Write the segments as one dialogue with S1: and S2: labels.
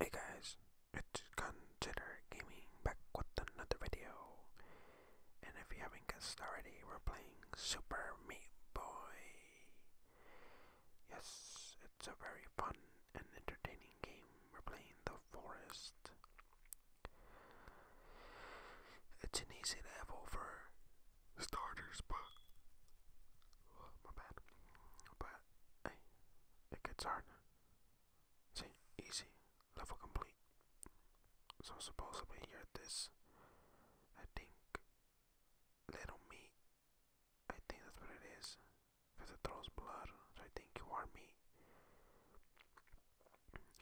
S1: Hey guys, it's Consider Gaming back with another video. And if you haven't guessed already, we're playing Super Meat Boy. Yes, it's a very fun and entertaining game. We're playing The Forest. It's an easy level for starters, but oh, my bad. But hey, it gets hard. See, easy level complete. So supposedly you're this. I think little meat. I think that's what it is, because it throws blood. So I think you are meat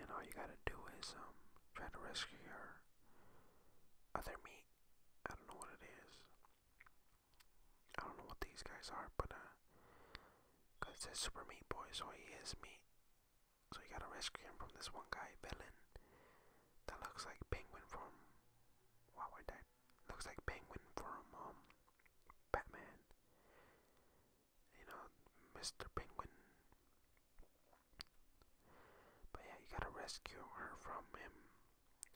S1: and all you gotta do is um try to rescue her. other meat. I don't know what it is. I don't know what these guys are, but uh, cause it says Super Meat Boy, so he is meat. So you gotta rescue him from this one guy villain that looks like Penguin from Wow I died. Looks like Penguin from um Batman you know, Mr. Penguin. But yeah, you gotta rescue her from him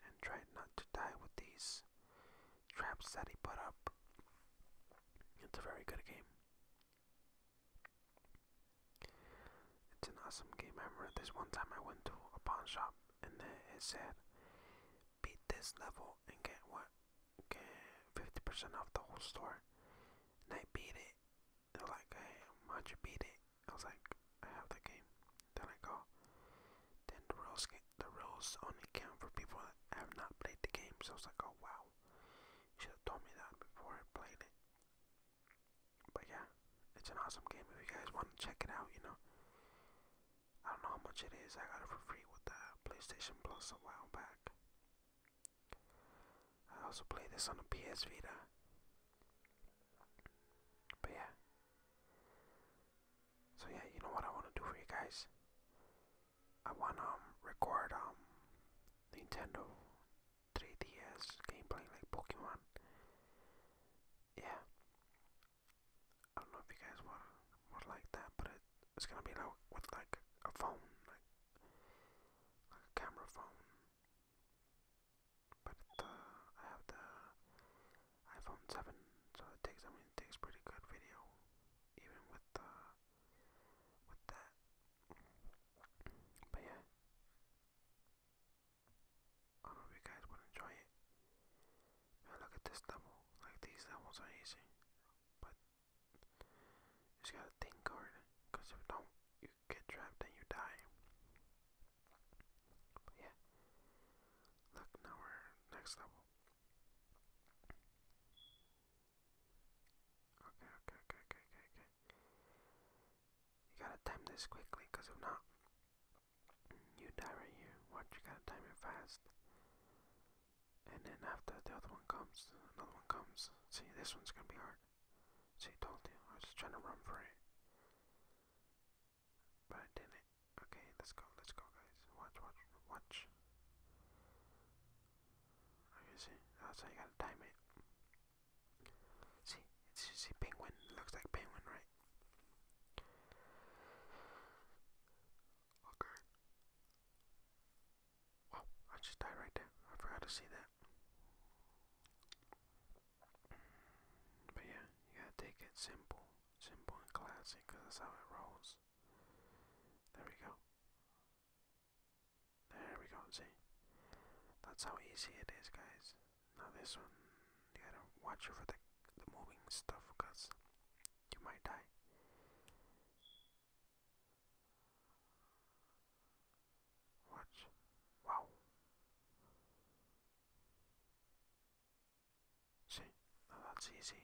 S1: and try not to die with these traps that he put up. It's a very good game. It's an awesome game. I remember this one time I went to a pawn shop and it said, beat this level and get what? fifty percent off the whole store, and I beat it. They're like, "Hey, how'd you beat it?" I was like, "I have the game." Then I go. Then the rules, the rules only count for people that have not played the game. So I was like, "Oh wow, you should have told me that before I played it." But yeah, it's an awesome game. If you guys want to check it out, you know. I don't know how much it is. I got it for free with the PlayStation Plus a while back. I also play this on the PS Vita. But yeah. So yeah, you know what I want to do for you guys? I want to um, record um Nintendo 3DS gameplay like Pokemon. Yeah. I don't know if you guys want or like that, but it's gonna be like with like a phone, like like a camera phone. But the, uh, I have the iPhone 7, so it takes I mean it takes pretty good video, even with the uh, with that. But yeah, I do you guys would enjoy it. Now look at this level, like these levels are easy but you just gotta think hard, cause if don't, you get trapped and you die. yeah, look now we're next level. Okay, okay, okay, okay, okay, okay. You gotta time this quickly, cause if not, you die right here. Watch, you gotta time it fast. And then after the other one comes, another one comes. See, this one's gonna be hard. See, I told you. I was trying to run for it. But I didn't. Okay, let's go, let's go, guys. Watch, watch, watch. Okay, see, that's how you gotta time it. See, it's, just a penguin. looks like penguin, right? Okay. Well, oh, I just died right there. I forgot to see that. But yeah, you gotta take it simple. Simple and classic, that's how it rolls. There we go. There we go, see? That's how easy it is, guys. Now this one, you gotta watch over the, the moving stuff because you might die. Watch. Wow. See, now that's easy.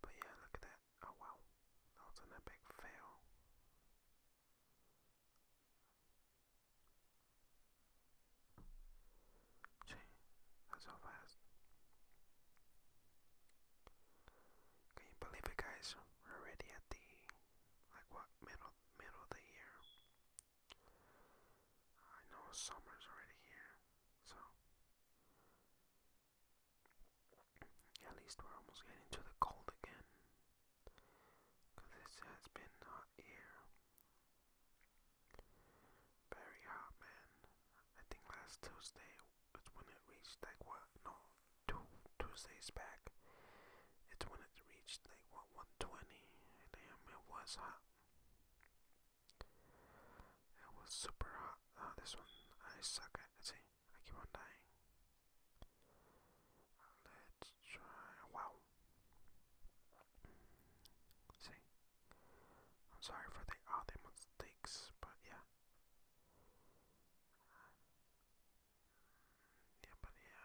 S1: But yeah, look at that. Oh wow, that was an epic fail. Gee, that's so fast. Can you believe it guys? already at the like what middle middle of the year. I know summer's already here, so at least we're almost getting to the cold again. Cause it has been hot ear. Very hot, man. I think last Tuesday it's when it reached like what? No, two Tuesdays back. It's when it reached like what 120. Damn, it was hot. It was super hot. Ah, this one I suck at. See, I keep on dying. Wow. See, I'm sorry for the other mistakes, but yeah. Yeah, but yeah,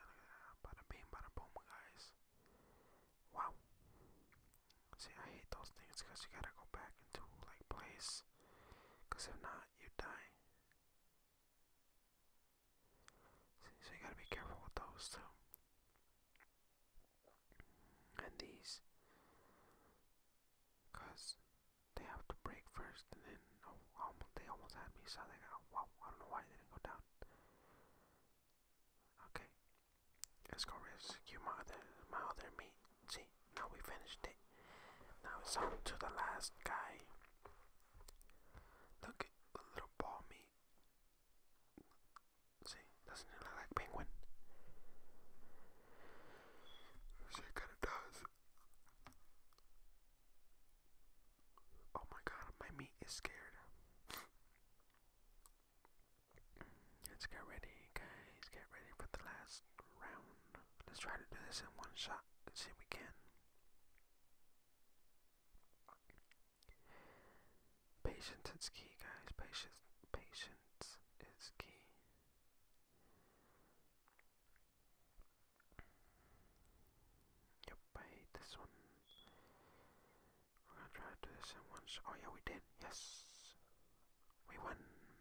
S1: look at that. Bada bing, boom, guys. Wow. See, I hate those things because you gotta go back into like place. Because if not, you die so you gotta be careful with those too. And these, they have to break first, and then oh, they almost had me. So they got wow. I don't know why it didn't go down. Okay, let's go rescue my other my other meat. See, now we finished it. Now it's on to the last guy. Look, a little ball meat. See, doesn't it look like penguin? it kinda does. Oh my god, my meat is scared. Let's get ready, guys. Get ready for the last round. Let's try to do this in one shot and see if we can. Patience is key, guys. Patience, patience is key. Yep, I hate this one. We're gonna try to do this in one Oh yeah, we did. Yes, we won.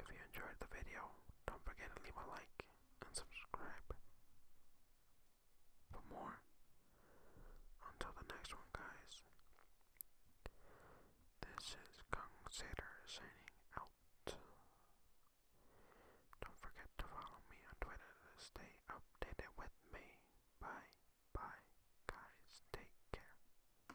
S1: if you enjoyed the video, don't forget to leave a like and subscribe for more. Until the next one, guys. This is Kung Sater signing out. Don't forget to follow me on Twitter to stay updated with me. Bye, bye, guys. Take care.